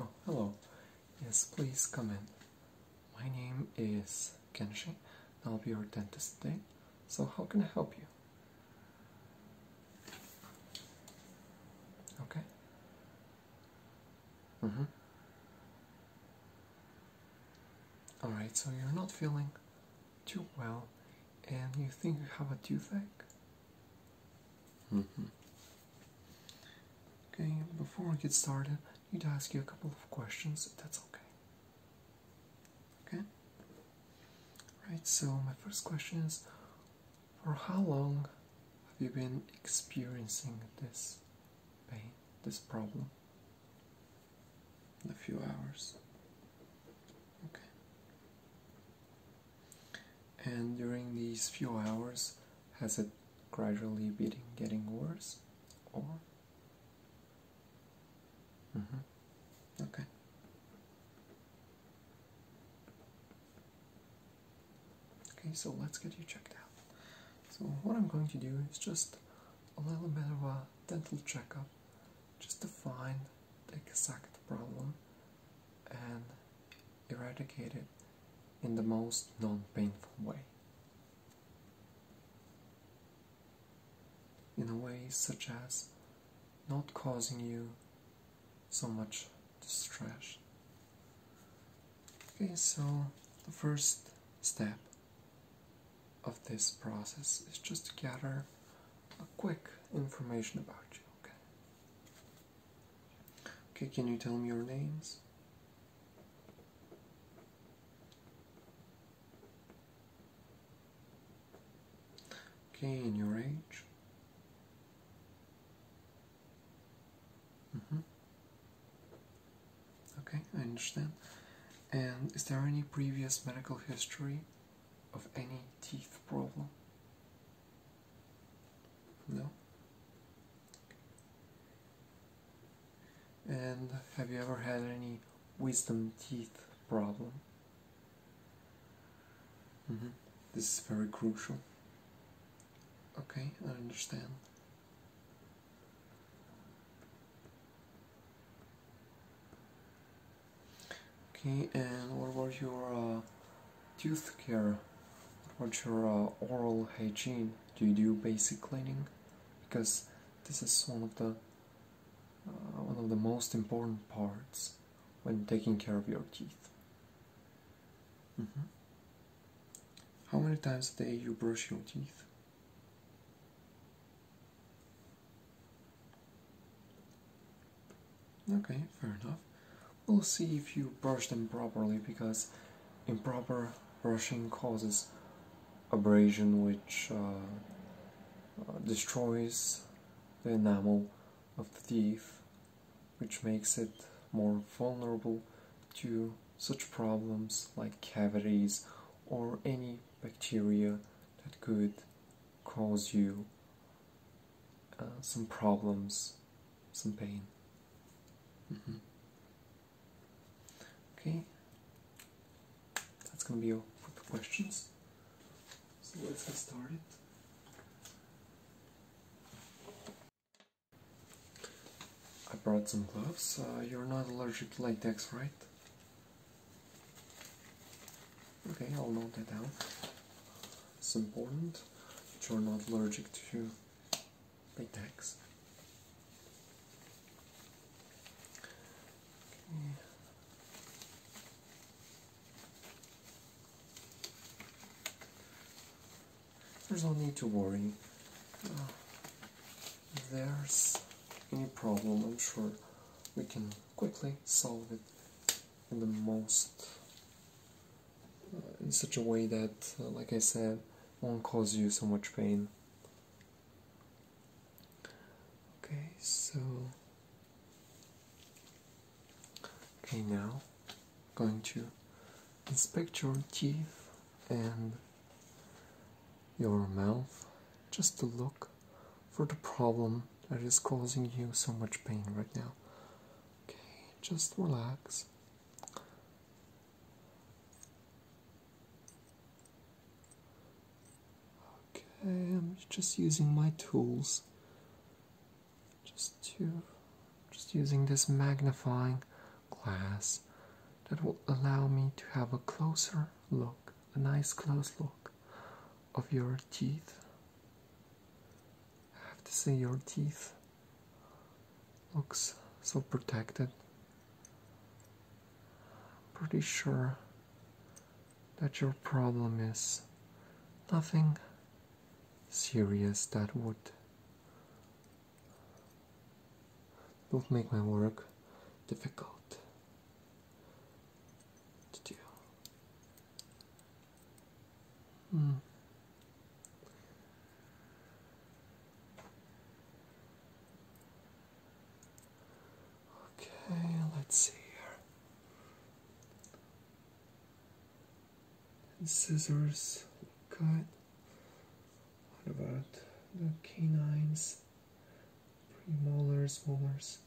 Oh, hello. Yes, please come in. My name is Kenshi. I'll be your dentist today. So, how can I help you? Okay. Mm-hmm. Alright, so you're not feeling too well and you think you have a toothache? Mm-hmm. Okay, before we get started, I need to ask you a couple of questions if that's okay. Okay? Alright, so my first question is For how long have you been experiencing this pain, this problem? a few hours. Okay and during these few hours has it gradually been getting worse or mm-hmm. okay okay so let's get you checked out so what i'm going to do is just a little bit of a dental checkup just to find the exact problem and eradicate it in the most non painful way. In a way such as not causing you so much distress. Okay, so the first step of this process is just to gather a quick information about you. Okay, Okay, can you tell me your names? Okay, and your age? Mm -hmm. Okay, I understand. And is there any previous medical history of any teeth problem? No? And have you ever had any wisdom teeth problem? Mm-hmm. This is very crucial. Okay, I understand. Okay, and what about your uh, tooth care? What about your uh, oral hygiene? Do you do basic cleaning? Because this is one of the uh, one of the most important parts when taking care of your teeth. Mm-hmm. How many times a day you brush your teeth? Okay, fair enough. We'll see if you brush them properly because improper brushing causes abrasion which uh, uh, destroys the enamel of the teeth which makes it more vulnerable to such problems like cavities or any bacteria that could cause you uh, some problems, some pain. Mm-hmm. Okay, that's gonna be all for the questions. So let's get started. I brought some gloves. Uh, you're not allergic to latex, right? Okay, I'll note that down. It's important that you're not allergic to latex. There's no need to worry. Uh, there's any problem, I'm sure we can quickly solve it in the most uh, in such a way that, uh, like I said, won't cause you so much pain. Okay, so. Okay, now going to inspect your teeth and your mouth just to look for the problem that is causing you so much pain right now. Okay, just relax. Okay, I'm just using my tools. Just to just using this magnifying glass that will allow me to have a closer look, a nice close look of your teeth I have to say your teeth looks so protected. pretty sure that your problem is nothing serious that would don't make my work difficult to do. Mm. Okay, let's see here. And scissors, cut. What about the canines? Premolars, molars.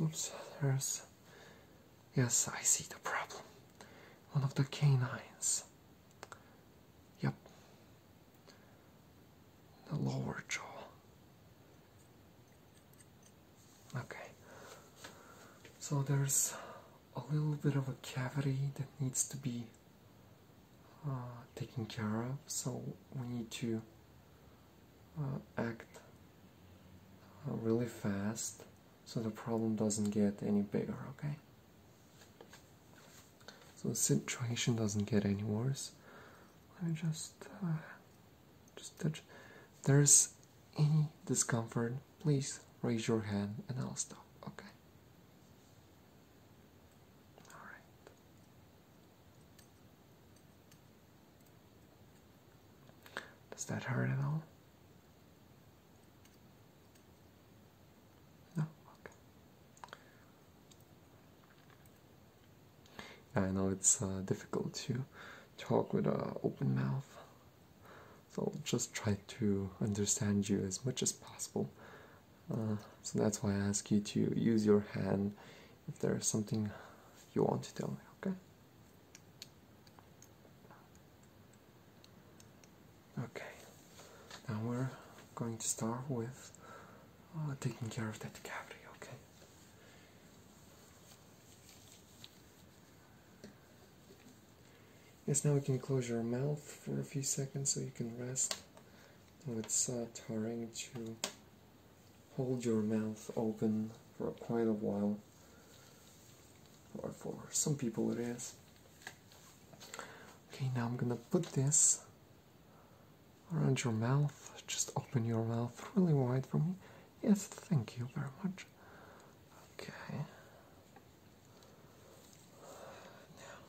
Oops, there's. Yes, I see the problem. One of the canines. Yep. The lower jaw. Okay. So there's a little bit of a cavity that needs to be uh, taken care of, so we need to uh, act uh, really fast so the problem doesn't get any bigger, okay? So the situation doesn't get any worse. Let me just, uh, just touch. there's any discomfort, please raise your hand and I'll stop, okay? Does that hurt at all? No? Okay. I know it's uh, difficult to talk with an open mouth, so I'll just try to understand you as much as possible. Uh, so that's why I ask you to use your hand if there is something you want to tell me, okay? Okay, now we're going to start with uh, taking care of that cavity, okay? Yes, now we can close your mouth for a few seconds so you can rest. Now it's uh, tiring too hold your mouth open for quite a while, or for some people it is. Okay, now I'm gonna put this around your mouth. Just open your mouth really wide for me. Yes, thank you very much. Okay.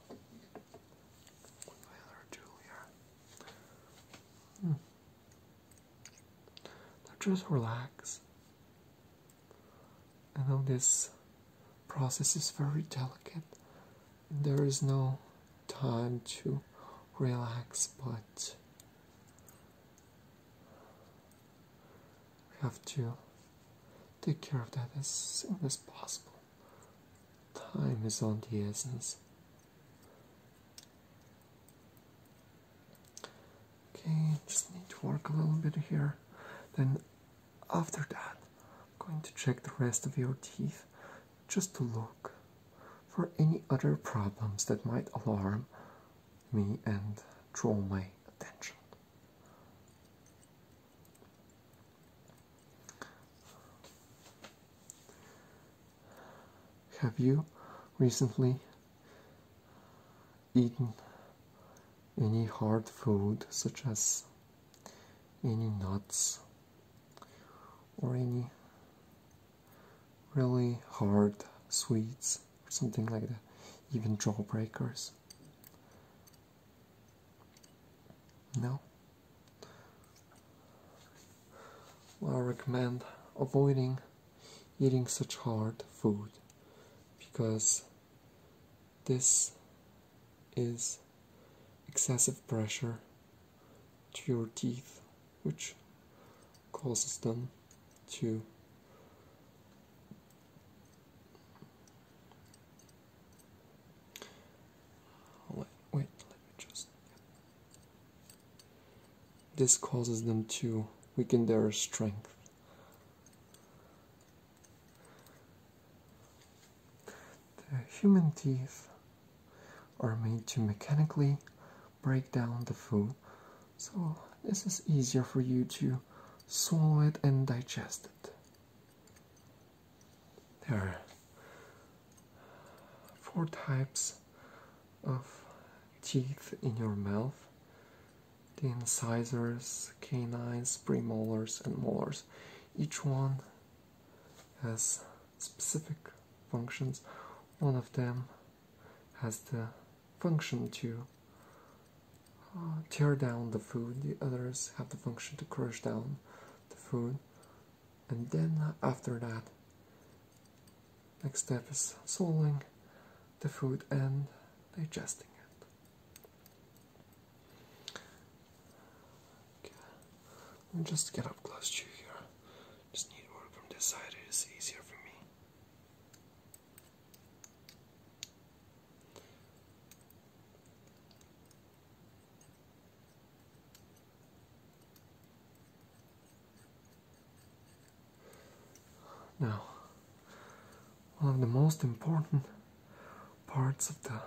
Now, my other tool now just relax. I know this process is very delicate. There is no time to relax, but we have to take care of that as soon as possible. Time is on the essence. Okay, just need to work a little bit here. Then, after that, I'm going to check the rest of your teeth just to look for any other problems that might alarm me and draw my attention. Have you recently eaten any hard food such as any nuts or any really hard sweets or something like that, even jawbreakers? No? I recommend avoiding eating such hard food because this is excessive pressure to your teeth, which causes them to this causes them to weaken their strength. The human teeth are made to mechanically break down the food, so this is easier for you to swallow it and digest it. There four types of teeth in your mouth the incisors, canines, premolars, and molars. Each one has specific functions. One of them has the function to uh, tear down the food, the others have the function to crush down the food and then uh, after that next step is swallowing the food and digesting it okay. let me just get up close to you here just need work from this side it is easier for me now, one of the most important parts of the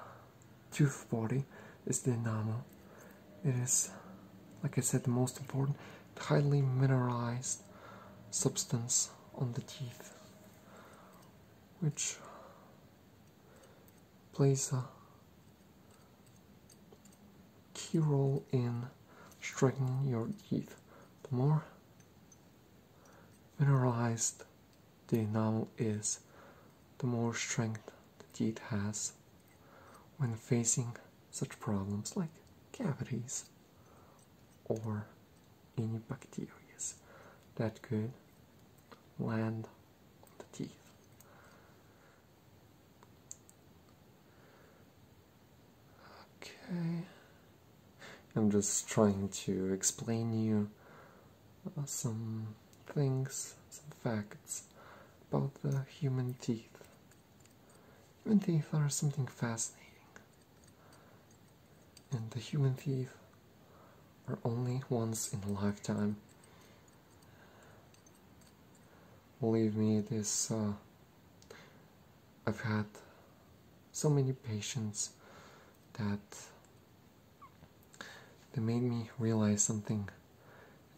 tooth body is the enamel. It is, like I said, the most important, highly mineralized substance on the teeth, which plays a key role in strengthening your teeth. The more mineralized the enamel is, the more strength the teeth has when facing such problems like cavities or any bacteria that could land on the teeth. Okay. I'm just trying to explain you uh, some things, some facts about the human teeth. Human teeth are something fascinating. And the human teeth are only once in a lifetime. Believe me, this, uh, I've had so many patients that they made me realize something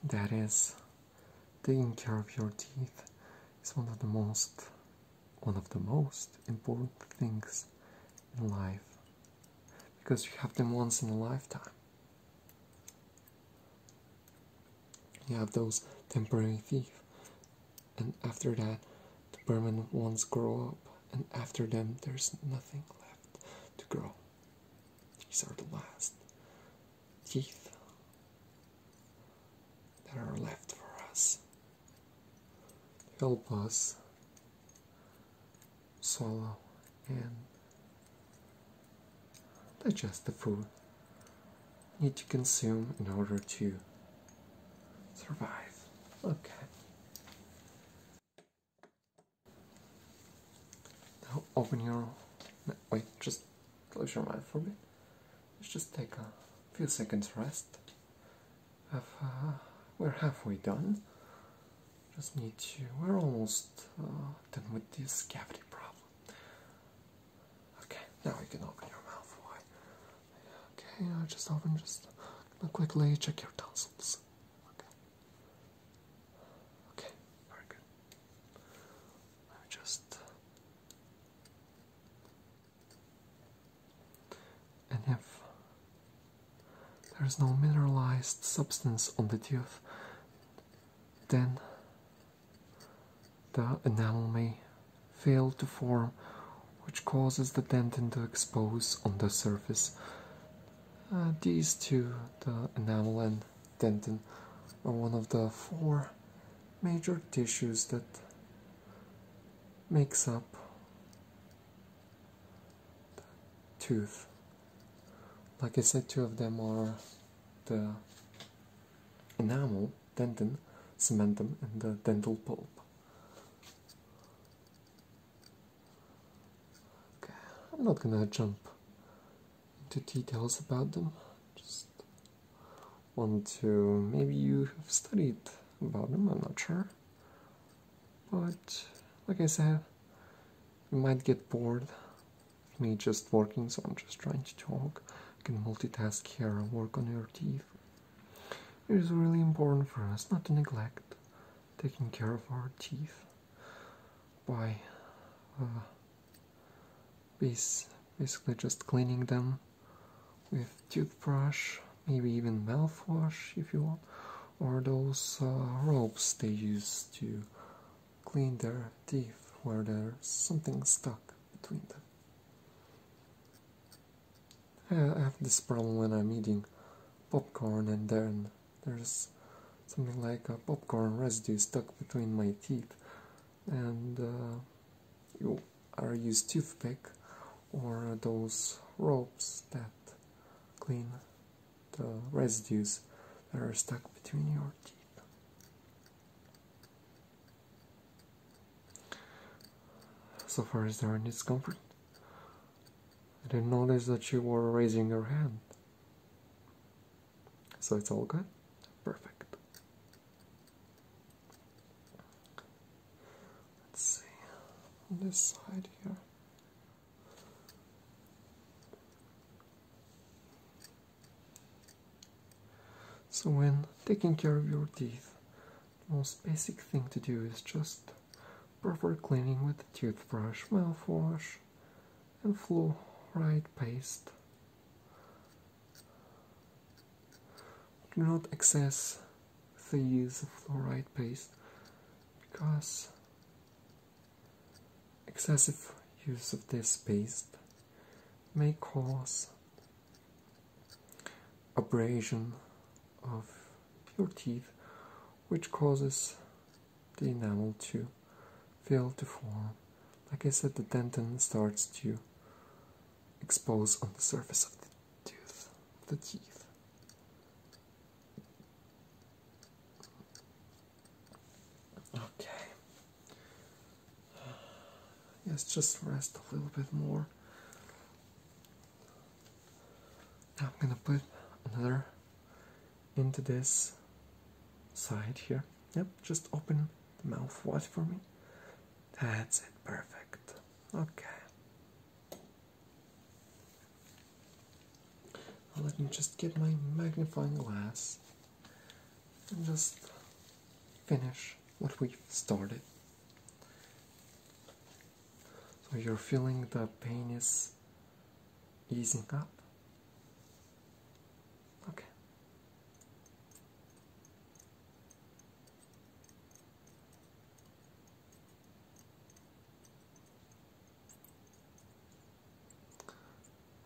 that is taking care of your teeth is one of the most one of the most important things in life because you have them once in a lifetime you have those temporary teeth, and after that, the permanent ones grow up, and after them, there's nothing left to grow. These are the last teeth that are left for us. Help us swallow and digest the food need to consume in order to survive. Okay. Now open your no, wait, just close your mind for a bit. Let's just take a few seconds rest. Have, uh, we're halfway done. Just need to. We're almost uh, done with this cavity problem. Okay, now you can open your mouth wide. Okay, just open just quickly check your tonsils. Okay. Okay, very good. just and if there is no mineralized substance on the tooth, then the enamel may fail to form, which causes the dentin to expose on the surface. Uh, these two, the enamel and dentin, are one of the four major tissues that makes up the tooth. Like I said, two of them are the enamel, dentin, cementum, and the dental pulp. Okay, I'm not gonna jump into details about them. Just want to maybe you have studied about them. I'm not sure, but like I said, you might get bored me just working, so I'm just trying to talk. I can multitask here and work on your teeth. It is really important for us not to neglect taking care of our teeth by uh, basically just cleaning them with toothbrush, maybe even mouthwash if you want, or those uh, ropes they use to clean their teeth where there's something stuck between them. I have this problem when I'm eating popcorn and then there's something like a popcorn residue stuck between my teeth and uh, you are use toothpick or those ropes that clean the residues that are stuck between your teeth. So far, is there any discomfort? I didn't notice that you were raising your hand. So it's all good? Perfect. Let's see this side here. So, when taking care of your teeth, the most basic thing to do is just proper cleaning with toothbrush, mouthwash, and fluoride paste. Do not excess the use of fluoride paste because Excessive use of this paste may cause abrasion of your teeth, which causes the enamel to fail to form. Like I said, the dentin starts to expose on the surface of the tooth, the teeth. Okay. Yes, just rest a little bit more. Now I'm gonna put another into this side here. Yep, just open the mouth wide for me. That's it, perfect. Okay. Let me just get my magnifying glass and just finish what we started. So you're feeling the pain is easing up? Okay.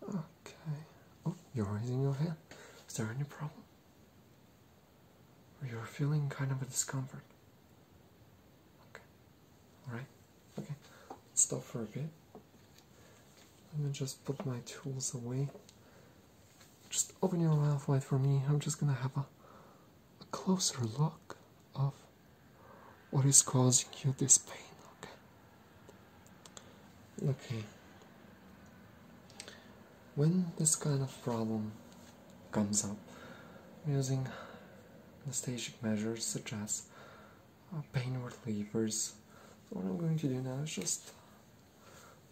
Okay. Oh, you're raising your hand. Is there any problem? Or you're feeling kind of a discomfort? Okay. Alright. Okay. Let's stop for a bit. Let me just put my tools away. Just open your mouth wide for me. I'm just gonna have a, a closer look of what is causing you this pain okay okay when this kind of problem comes up using anesthetic measures such as uh, pain relievers so what i'm going to do now is just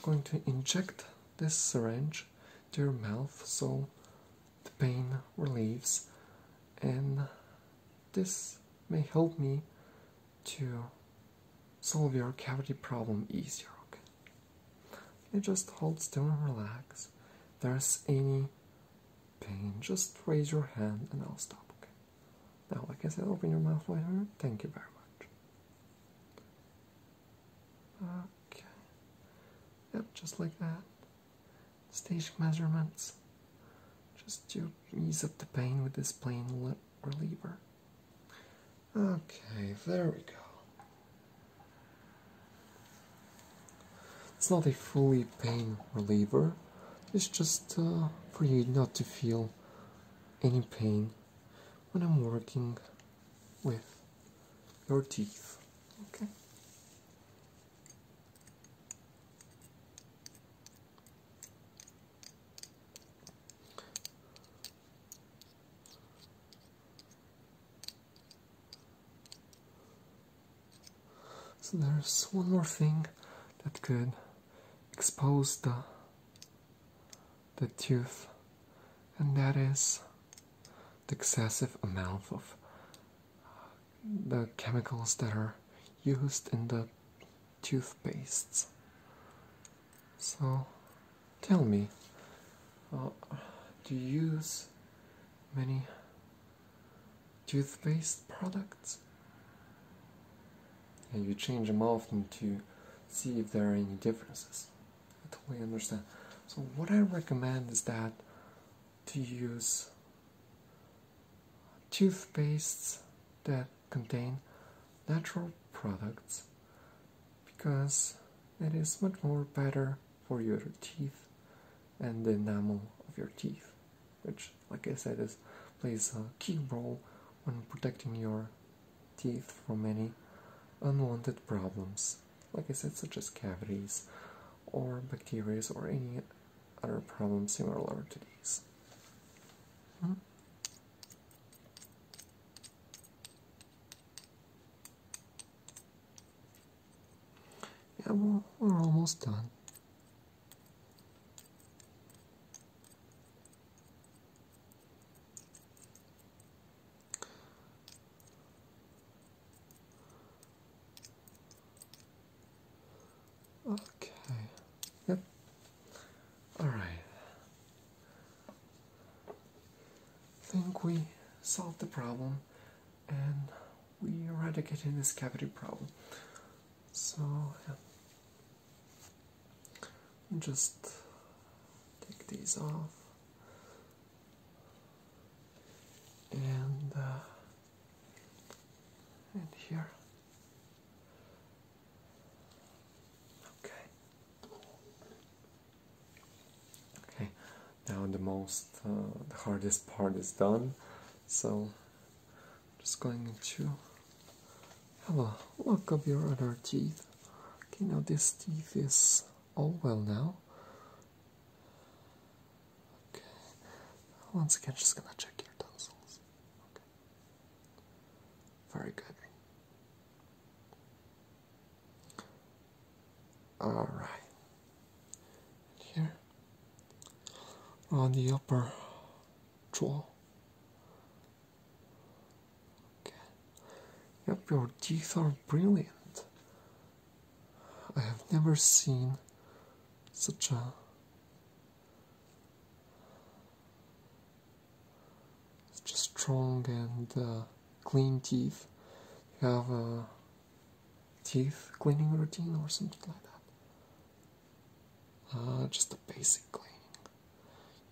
going to inject this syringe to your mouth so the pain relieves and this may help me to solve your cavity problem easier. Okay, you just hold still and relax. there's any pain, just raise your hand and I'll stop. Okay. Now, like I said, open your mouth wider. Thank you very much. Okay. Yep, just like that stage measurements just to ease up the pain with this pain reliever. Okay, there we go. It's not a fully pain reliever, it's just uh, for you not to feel any pain when I'm working with your teeth. Okay? So there's one more thing that could expose the the tooth and that is the excessive amount of the chemicals that are used in the toothpastes. So tell me, uh, do you use many toothpaste products? And you change them often to see if there are any differences. I totally understand. So what I recommend is that to use toothpastes that contain natural products because it is much more better for your teeth and the enamel of your teeth which like i said is plays a key role when protecting your teeth from any unwanted problems like i said such as cavities or bacteria or any other problems similar to these. Hmm. Yeah, we're almost done. Okay. Yep. All right. Think we solved the problem, and we eradicated this cavity problem. So just take these off, and uh, and here. Okay. Okay. Now the most, uh, the hardest part is done. So, just going to have a look up here at our teeth. Okay, now this teeth is all well now. Okay. Once again, just gonna check your tonsils. Okay. Very good. All right. Here on the upper jaw. Okay. Yep, your teeth are brilliant. I have never seen such a such a strong and uh, clean teeth. You have a teeth cleaning routine or something like that. Uh, just a basic cleaning.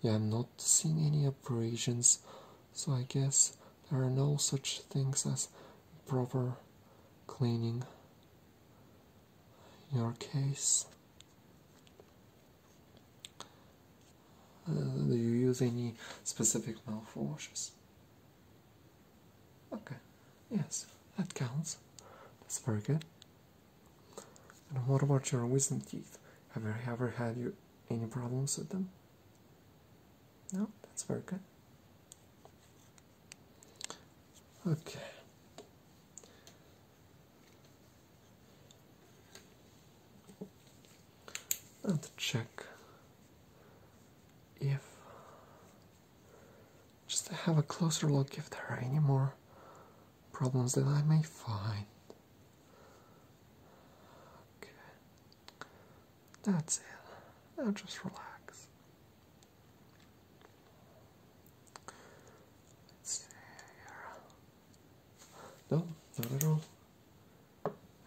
Yeah, I'm not seeing any abrasions, so I guess there are no such things as proper cleaning. In your case uh, do you use any specific mouthwashes okay yes that counts that's very good and what about your wisdom teeth have you ever had you any problems with them no that's very good Okay. Let's check if just have a closer look if there are any more problems that I may find. Okay. That's it. Now just relax. No, not at all.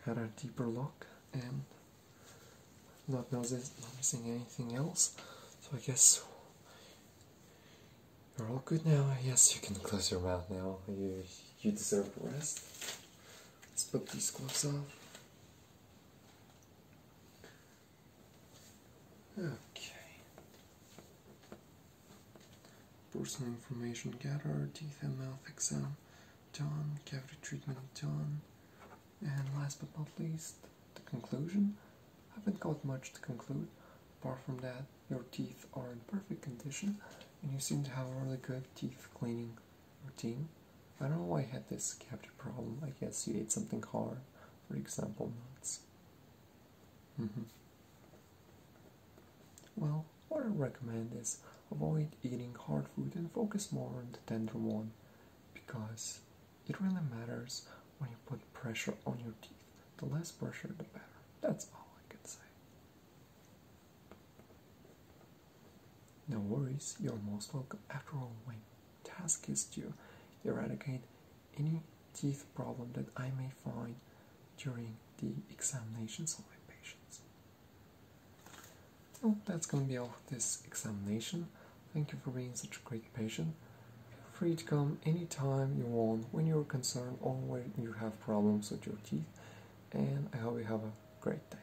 Had a deeper look and not noticing anything else. So I guess you're all good now. Yes, you can close your mouth now. You you deserve rest. Let's put these gloves off. Okay. Personal information gathered, teeth and mouth exam done, cavity treatment done, and last but not least, the conclusion. I Haven't got much to conclude. Apart from that, your teeth are in perfect condition, and you seem to have a really good teeth cleaning routine. I don't know why I had this cavity problem. I guess you ate something hard for example, nuts. Mm-hmm. Well, what I recommend is avoid eating hard food and focus more on the tender one because it really matters when you put pressure on your teeth. The less pressure, the better. That's all I can say. No worries, you're most welcome after all, Wayne task is to eradicate any teeth problem that I may find during the examinations of my patients. Well, that's going to be all for this examination. Thank you for being such a great patient. Feel free to come anytime you want when you're concerned or when you have problems with your teeth. And I hope you have a great day.